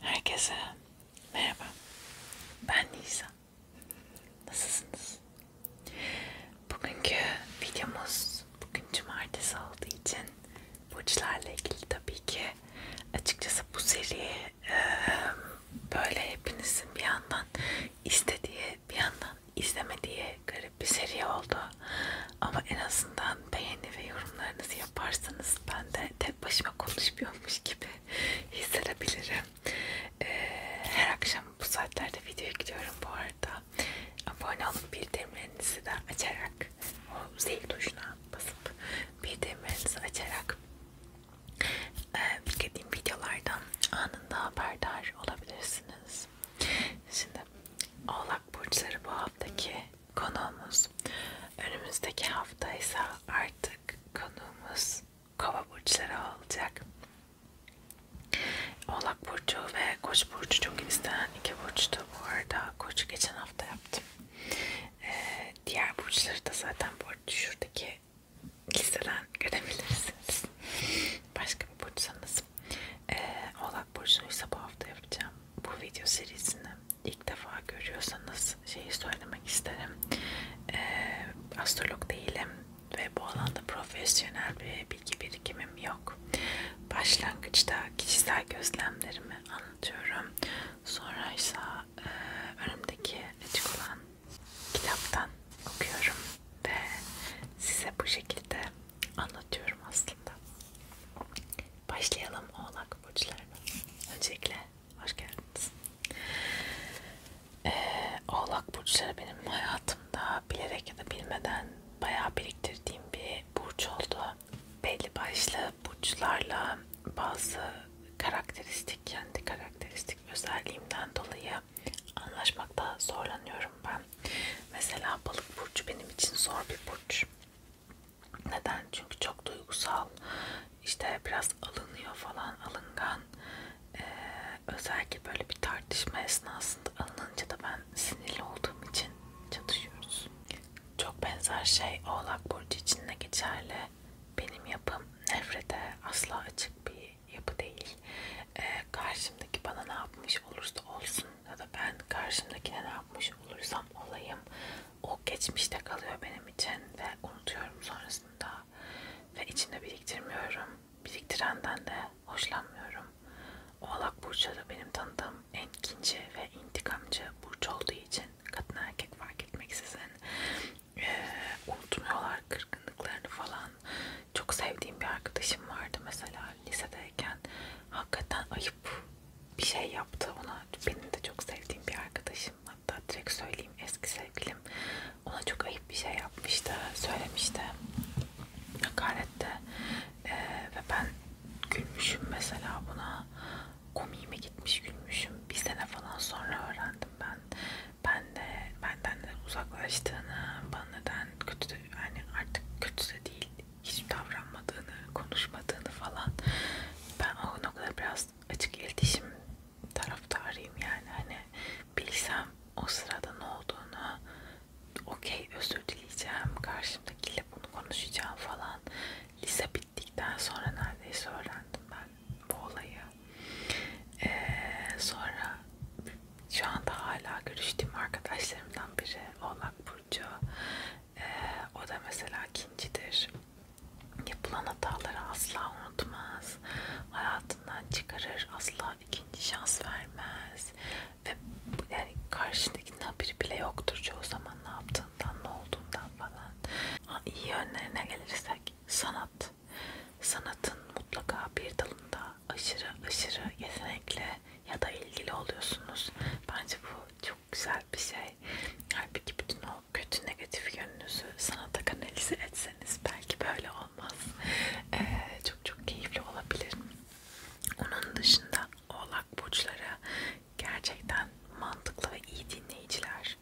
Herkese merhaba. Ben Nisa. Nasılsınız? Bugünkü videomuz bugün cumartesi olduğu için burçlarla ilgili tabii ki açıkçası bu seri e, böyle hepinizin bir yandan istediği bir yandan izlemediği garip bir seri oldu. Ama en azından beğeni ve yorumlarınızı yaparsanız ben de hani tek başıma konuşmuyormuş gibi hissedebilirim. Ee, her akşam bu saatlerde videoya gidiyorum bu arada. Abone olup bildirimlerinizi de açarak o zil tuşuna basıp bildirimlerinizi açarak e, yüklediğim videolardan anında haberdar olabilirsiniz. Şimdi Oğlak burçları bu haftaki konuğumuz. Önümüzdeki hafta ise artık konuğumuz kova burçları olacak. Oğlak burcu ve koç burcu çok istenen iki burçtu. Bu arada koçu geçen hafta yaptım. Ee, diğer burçları da zaten bu şuradaki listeden görebilirsiniz. Başka bir burçsanız. Ee, Oğlak burcunu ise bu hafta yapacağım. Bu video serisini ilk defa görüyorsanız şeyi söylemek isterim. E, astrolog değilim ve bu alanda profesyonel bir bilgi birikimim yok. Başlangıçta kişisel gözlemlerimi anlatıyorum. Sonra ise e, önümdeki açık olan kitaptan okuyorum ve size bu şekilde anlatıyorum aslında. Başlayalım Oğlak burçlarına. Öncelikle hoş geldiniz. Ee, Oğlak burçları benim hayatımda bilerek ya da bilmeden bayağı biriktirdiğim bir burç oldu. Belli başlı burçlarla bazı karakteristik, kendi karakteristik özelliğimden dolayı anlaşmakta zorlanıyorum ben. Mesela balık burcu benim için zor bir burç. Neden? Çünkü çok duygusal, işte biraz alınıyor falan, alıngan. Ee, özellikle böyle bir tartışma esnasında alınınca da ben sinirli olduğum için çatışıyoruz. Çok benzer şey Oğlak Burcu için de geçerli. Benim yapım nefrete asla açık bir yapı değil. Ee, karşımdaki bana ne yapmış olursa olsun ya da ben karşımdakine ne yapmış olursam olayım o geçmişte kalıyor benim için ve unutuyorum sonrasında ve içinde biriktirmiyorum biriktirenden de hoşlanmıyorum Oğlak Burcu da benim tanıdığım en kinci ve intikamcı Burcu olduğu için kadın erkek fark etmeksizin ee, unutmuyorlar kırgınlıklarını falan çok sevdiğim bir arkadaşım vardı mesela lisedeyken hakikaten ayıp bir şey yaptı ona. Benim de çok sevdiğim bir arkadaşım. Hatta direkt söyleyeyim eski sevgilim ona çok ayıp bir şey yapmıştı. Söylemişti. Hakarette. Ee, ve ben gülmüşüm mesela buna. Komiğime gitmiş gülmüşüm. Bir sene falan sonra öğrendim ben. Ben de benden de uzaklaştığını, bana neden kötü yani artık kötü de değil hiç davranmadığını, konuşmadığını falan. Ben o noktada biraz açık iletişim taraftarıyım yani hani bilsem o sırada ne olduğunu okey özür dileyeceğim karşımdakiyle bunu konuşacağım falan lise bittikten sonra neredeyse öğrendim ben bu olayı ee, sonra şu anda hala görüştüğüm arkadaşlarımdan biri Oğlak Burcu. Ee, o da mesela kincidir. Yapılan hataları asla unutmaz. Hayatından çıkarır. Asla ikinci şans vermez. Ve yani karşındakinin haberi bile yoktur çoğu zaman ne yaptığından, ne olduğundan falan. İyi yönlerine gelirsek sanat. Sanatın mutlaka bir dalında aşırı aşırı yetenekli ya da ilgili oluyorsunuz. Bence bu çok güzel bir şey. Halbuki bütün o kötü negatif yönünüzü sanata kanalize etseniz belki böyle olmaz. Ee, çok çok keyifli olabilir. Onun dışında oğlak burçları gerçekten mantıklı ve iyi dinleyiciler.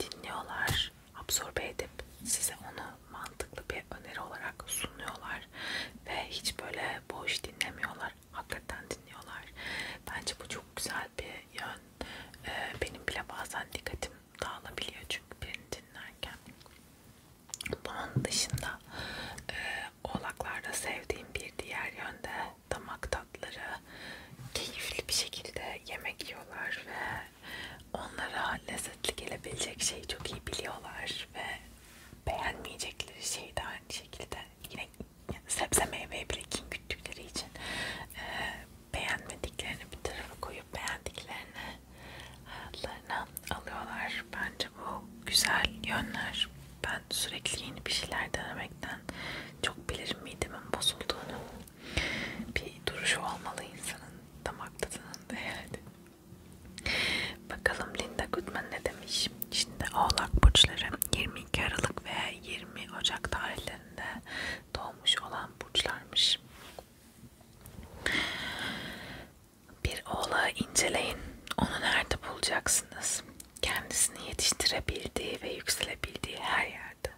Dinliyorlar, absorbe edip size onu mantıklı bir bir öneri olarak sunuyorlar ve hiç böyle boş dinlemiyorlar. Hakikaten dinliyorlar. Bence bu çok güzel bir yön. Ee, benim bile bazen dikkatim dağılabiliyor çünkü birini dinlerken. Bunun dışında e, oğlaklarda sevdiğim bir diğer yönde damak tatları keyifli bir şekilde yemek yiyorlar ve onlara lezzetli gelebilecek şeyi çok iyi biliyorlar ve beğenmeyecekleri şey de aynı şekilde yine sebze meyve bile kin güttükleri için e, beğenmediklerini bir tarafa koyup beğendiklerini hayatlarına alıyorlar. Bence bu güzel yönler. Ben sürekli yeni bir şeyler denemekten çok bilirim midemin bozulduğunu. Bir duruşu olmalı insanın, damak tadının değerli. Bakalım Linda Goodman ne demiş? Şimdi Oğlak burçları 22 Aralık ve 20 Ocak tarihlerinde doğmuş olan burçlarmış. Bir oğlağı inceleyin. Onu nerede bulacaksınız? Kendisini yetiştirebildiği ve yükselebildiği her yerde.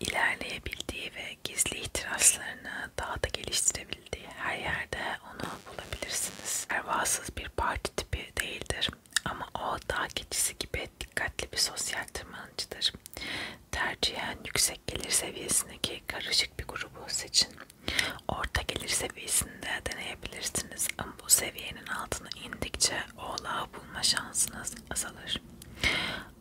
İlerleyebildiği ve gizli ihtiraslarını daha da geliştirebildiği her yerde onu bulabilirsiniz. Pervasız bir parti tipi değildir ama o dağ keçisi gibi dikkatli bir sosyal tırmanıcıdır. Tercihen yüksek gelir seviyesindeki karışık bir grubu seçin. Orta gelir seviyesinde deneyebilirsiniz ama bu seviyenin altına indikçe oğlağı bulma şansınız azalır.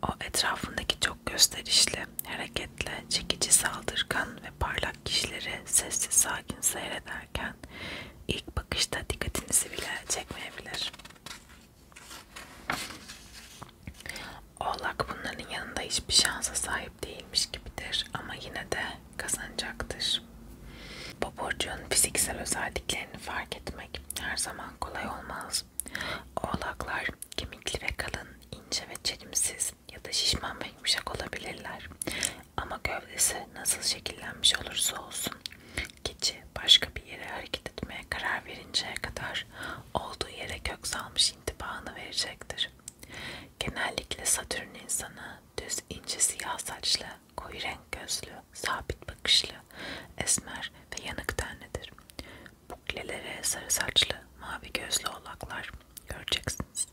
O etrafındaki çok gösterişli, hareketle, çekici saldırgan ve parlak kişileri sessiz sakin seyrederken ilk bakışta dikkatinizi bile çekmeyebilir. Oğlak bunların yanında hiçbir şansa sahip değilmiş gibidir ama yine de kazanacaktır. Bu burcun fiziksel özelliklerini fark etmek her zaman kolay olmaz Oğlaklar kemikli ve kalın, ince ve çelimsiz ya da şişman ve yumuşak olabilirler. Ama gövdesi nasıl şekillenmiş olursa olsun keçi başka bir yere hareket etmeye karar verinceye kadar olduğu yere kök salmış intibahını verecektir. Genellikle Satürn insanı düz ince siyah saçlı, koyu renk gözlü, sabit bakışlı, esmer ve yanık tenlidir. Buklelere sarı saçlı, mavi gözlü oğlaklar göreceksiniz.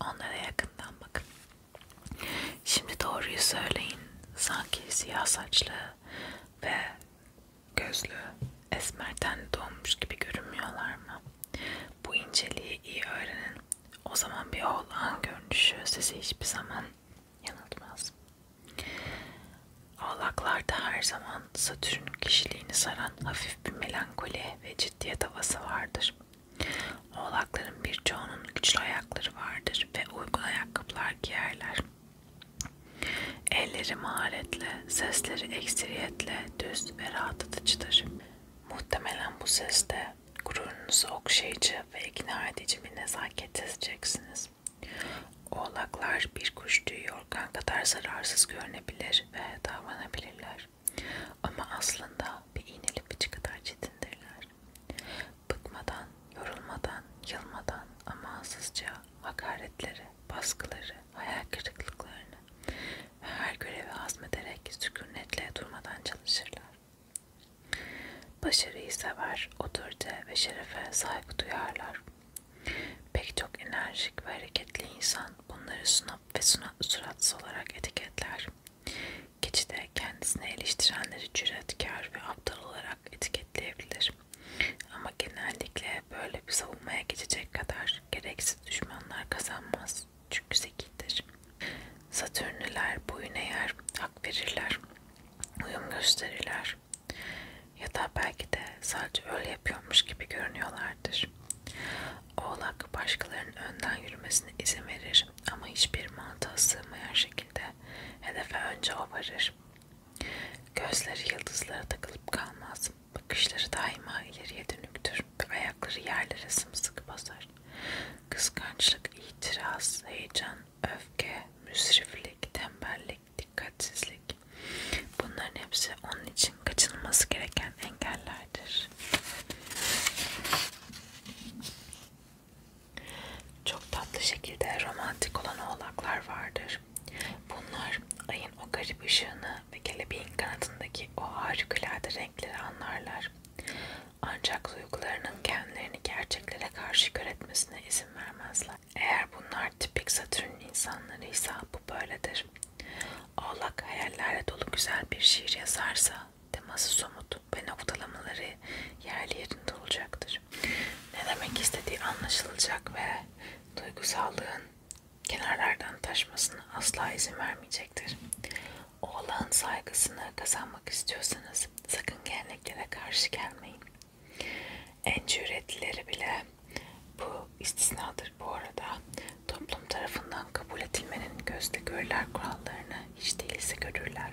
Onlara yakından bakın. Şimdi doğruyu söyleyin. Sanki siyah saçlı ve gözlü esmerden doğmuş gibi görünmüyorlar mı? Bu inceliği iyi öğrenin. O zaman bir oğlan görünüşü sizi hiçbir zaman yanıltmaz. Oğlaklarda her zaman Satürn'ün kişiliğini saran hafif bir melankoli ve ciddiyet havası vardır. Oğlakların birçoğunun güçlü ayakları vardır ve uygun ayakkabılar giyerler. Elleri maharetle, sesleri ekseriyetle düz ve rahatlatıcıdır. Muhtemelen bu seste gururunuzu okşayıcı ve ikna edici bir nezaket seçeceksiniz. Oğlaklar bir kuş tüyü yorgan kadar zararsız görünebilir ve davranabilirler. Ama aslında bir iğneli bıçı kadar çetindirler. Bıkmadan, yorulmadan, yılmadan amansızca hakaretleri, baskıları, hayal kırıklıklarını ve her görevi hazmederek sükunetle durmadan çalışırlar. Başarıyı sever, otorite ve şerefe saygı duyarlar. Pek çok enerjik ve hareketli insan bunları sunup ve suna, suratsız olarak etiketler. Geçide kendisine eleştirenleri cüretkar ve aptal olarak etiketleyebilir. Ama genellikle böyle bir savunmaya geçecek kadar gereksiz düşmanlar kazanmaz. Çünkü zekidir. Satürnüler boyun eğer, hak verirler, uyum gösterirler, ya da belki de sadece öyle yapıyormuş gibi görünüyorlardır. Oğlak başkalarının önden yürümesine izin verir ama hiçbir mantığa sığmayan şekilde hedefe önce o varır. Gözleri yıldızlara takılıp kalmaz, bakışları daima ileriye dönüktür ve ayakları yerlere sımsıkı basar. Kıskançlık, itiraz, heyecan, öfke, müsriflik, tembellik, tembellik, dikkatsizlik bunların hepsi onun için kaçınılması gereken engellerdir. Çok tatlı şekilde romantik olan oğlaklar vardır. Bunlar ayın o garip ışığını ve kelebeğin kanadındaki o harikulade renkleri anlarlar. Ancak duygularının kendilerini gerçeklere karşı kör etmesine izin vermezler insanlar. Eğer bunlar tipik Satürn insanlarıysa bu böyledir. Oğlak hayallerle dolu güzel bir şiir yazarsa teması somut ve noktalamaları yerli yerinde olacaktır. Ne demek istediği anlaşılacak ve duygusallığın kenarlardan taşmasına asla izin vermeyecektir. Oğlan saygısını kazanmak istiyorsanız sakın geleneklere karşı gelmeyin. En cüretlileri bile bu istisnadır bu arada. Toplum tarafından kabul edilmenin gözle görüler kurallarını hiç değilse görürler.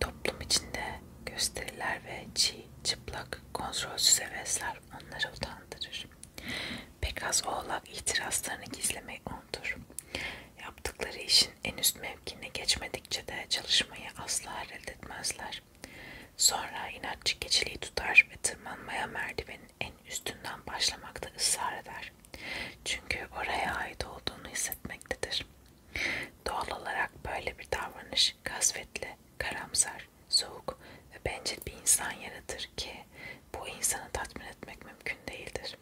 Toplum içinde gösteriler ve çiğ, çıplak, kontrolsüz hevesler onları utandırır. Pek az oğlak itirazlarını gizlemeyi unutur. Yaptıkları işin en üst temkinle geçmedikçe de çalışmayı asla reddetmezler. Sonra inatçı keçiliği tutar ve tırmanmaya merdivenin en üstünden başlamakta ısrar eder. Çünkü oraya ait olduğunu hissetmektedir. Doğal olarak böyle bir davranış kasvetli, karamsar, soğuk ve bencil bir insan yaratır ki bu insanı tatmin etmek mümkün değildir.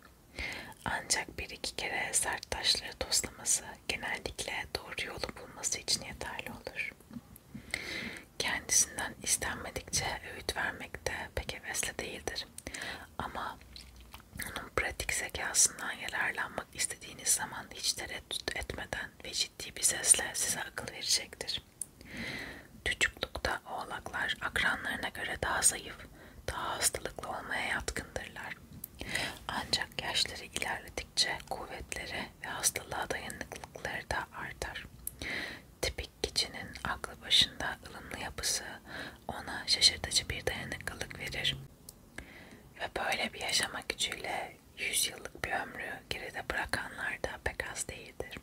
Ancak bir iki kere sert taşları toslaması genellikle doğru yolu bulması için yeterli olur. Kendisinden istenmedikçe öğüt vermek de pek hevesli değildir. Ama onun pratik zekasından yararlanmak istediğiniz zaman hiç tereddüt etmeden ve ciddi bir sesle size akıl verecektir. Çocuklukta oğlaklar akranlarına göre daha zayıf, daha hastalıklı olmaya yatkındırlar. Ancak yaşları ilerledikçe kuvvetleri ve hastalığa dayanıklılıkları da artar. Tipik kişinin aklı başında ılımlı yapısı ona şaşırtıcı bir dayanıklılık verir. Ve böyle bir yaşama gücüyle 100 yıllık bir ömrü geride bırakanlar da pek az değildir.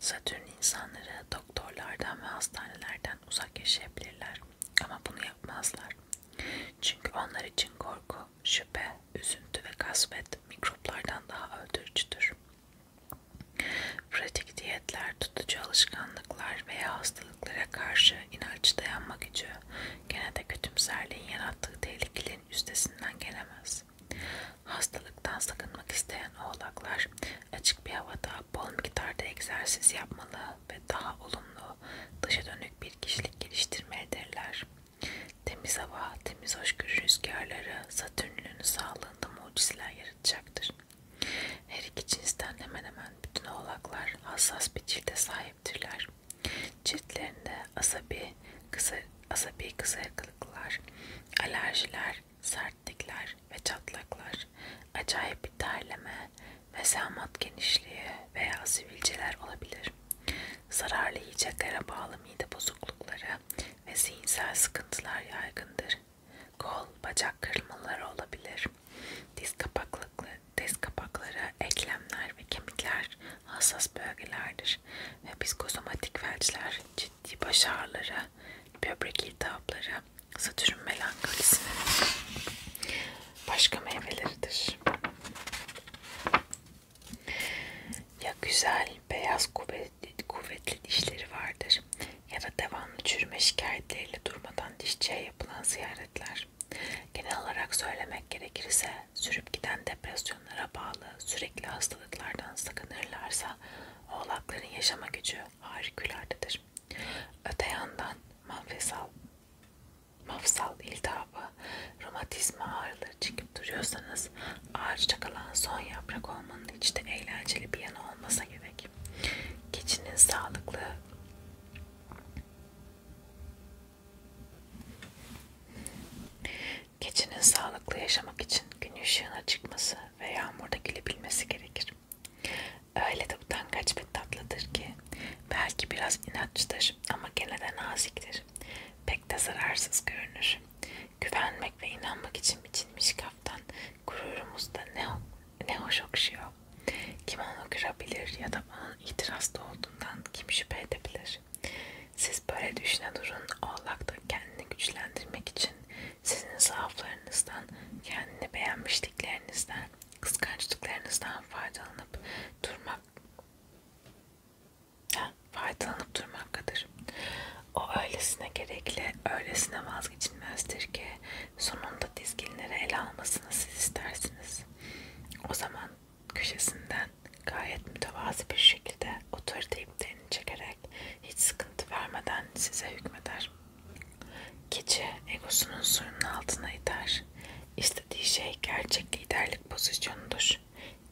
Satürn insanları doktorlardan ve hastanelerden uzak yaşayabilirler ama bunu yapmazlar. Çünkü onlar için korku, şüphe, üzüntü ve kasvet mikroplardan daha öldürücüdür. Pratik diyetler, tutucu alışkanlıklar veya hastalıklara karşı inanç dayanma gücü gene de kötümserliğin yarattığı tehlikelerin üstesinden gelemez. Hastalıktan sakınmak isteyen oğlaklar açık bir havada bol miktarda egzersiz yapmalı ve ve daha olumlu, dışa dönük bir kişilik geliştirmelidirler. Temiz hava, temiz hoşgörü rüzgarları Satürn'ün sağlığında mucizeler yaratacaktır. Her iki cinsten hemen hemen bütün oğlaklar hassas bir cilde sahiptirler. Ciltlerinde asabi, kısa, asabi kısırlıklar, alerjiler, sertlikler ve çatlaklar, acayip bir terleme, mesamat genişliği veya sivilceler olabilir. Zararlı yiyeceklere bağlı mide bozuklukları ve zihinsel sıkıntılar yaygındır. Kol, bacak kırılmaları olabilir. Diz, diz kapakları, eklemler ve kemikler hassas bölgelerdir ve psikosomatik felçler, ciddi baş ağrıları, böbrek iltihapları, Satürn melankolisinin başka meyveleridir. Ya güzel, beyaz, kuvvetli, kuvvetli dişleri vardır ya da devamlı çürüme şikayetleriyle durmadan dişçiye yapılan ziyaretler. Genel olarak söylemek gerekirse sürüp giden depresyonlara bağlı sürekli hastalıklardan sakınırlarsa oğlakların yaşama gücü harikuladedir. Öte yandan mafsal, mafsal iltihabı, romatizma ağrıları çekip duruyorsanız ağaçta kalan son yaprak olmanın içte eğlenceli bir yanı olmasa gerek. Keçinin sağlıklı Keçinin sağlıklı yaşamak için gün ışığına çıkması ve yağmurda gülebilmesi gerekir. Öyle de utangaç ve tatlıdır ki belki biraz inatçıdır ama gene de naziktir. Pek de zararsız görünür. Güvenmek ve inanmak için biçilmiş kaftan gururumuzda ne, ne hoş okşuyor. Kim onu kırabilir ya da onun itirazda olduğundan kim şüphe edebilir? Siz böyle düşüne durun. Oğlak da kendini güçlendirmek için sizin zaaflarınızdan, kendini beğenmişliklerinizden, kıskançlıklarınızdan faydalanıp durmak ha, faydalanıp durmaktadır. O öylesine gerekli, öylesine vazgeçilmezdir ki sonunda dizginlere el almasını siz istersiniz. O zaman köşesinden gayet mütevazi bir şekilde otorite iplerini çekerek hiç sıkıntı vermeden size hükmeder. Keçi egosunun suyunun altına iter. İstediği şey gerçek liderlik pozisyonudur.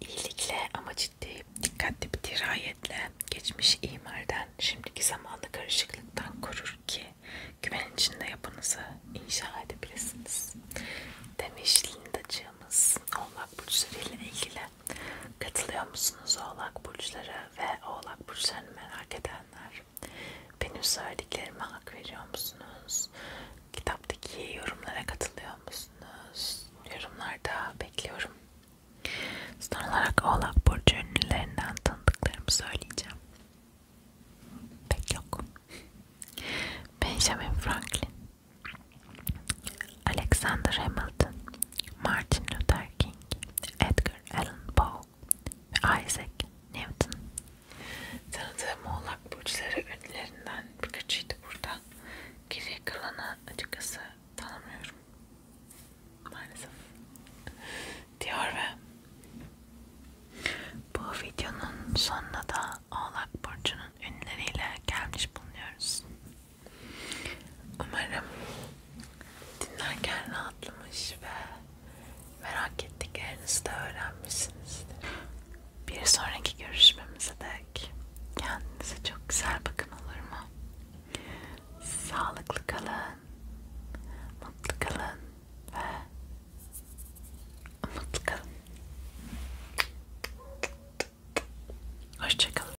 İyilikle ama ciddi, dikkatli bir dirayetle geçmiş imarden, şimdiki zamanlı karışıklıktan korur ki güven içinde yapınızı inşa edebilirsiniz. Demiş Lindacığımız olmak burçlarıyla ilgili Katılıyor musunuz oğlak burçları ve oğlak burçlarını merak edenler? Benim söylediklerime hak veriyor musunuz? Kitaptaki yorumlara katılıyor musunuz? Yorumlarda bekliyorum. Son olarak oğlak burcu ünlülerinden tanıdıklarımı söyleyeceğim. Pek yok. Benjamin Franklin, Alexander Hamilton, Martin Luther King, Edgar Allan Poe ve Isaac Newton. Tanıdığım oğlak burçları ünlülerinden birkaçıydı burada. Geri kalanı açıkçası tanımıyorum. Maalesef. Diyor ve bu videonun sonuna da oğlak burcunun ünlüleriyle gelmiş bulunuyoruz. Umarım dinlerken rahatlamış ve merak ettiklerinizi de öğrenmişsinizdir. Bir sonraki görüşmemize dek kendinize çok güzel bakın olur mu? Sağlıklı kalın, mutlu kalın ve mutlu kalın. Hoşçakalın.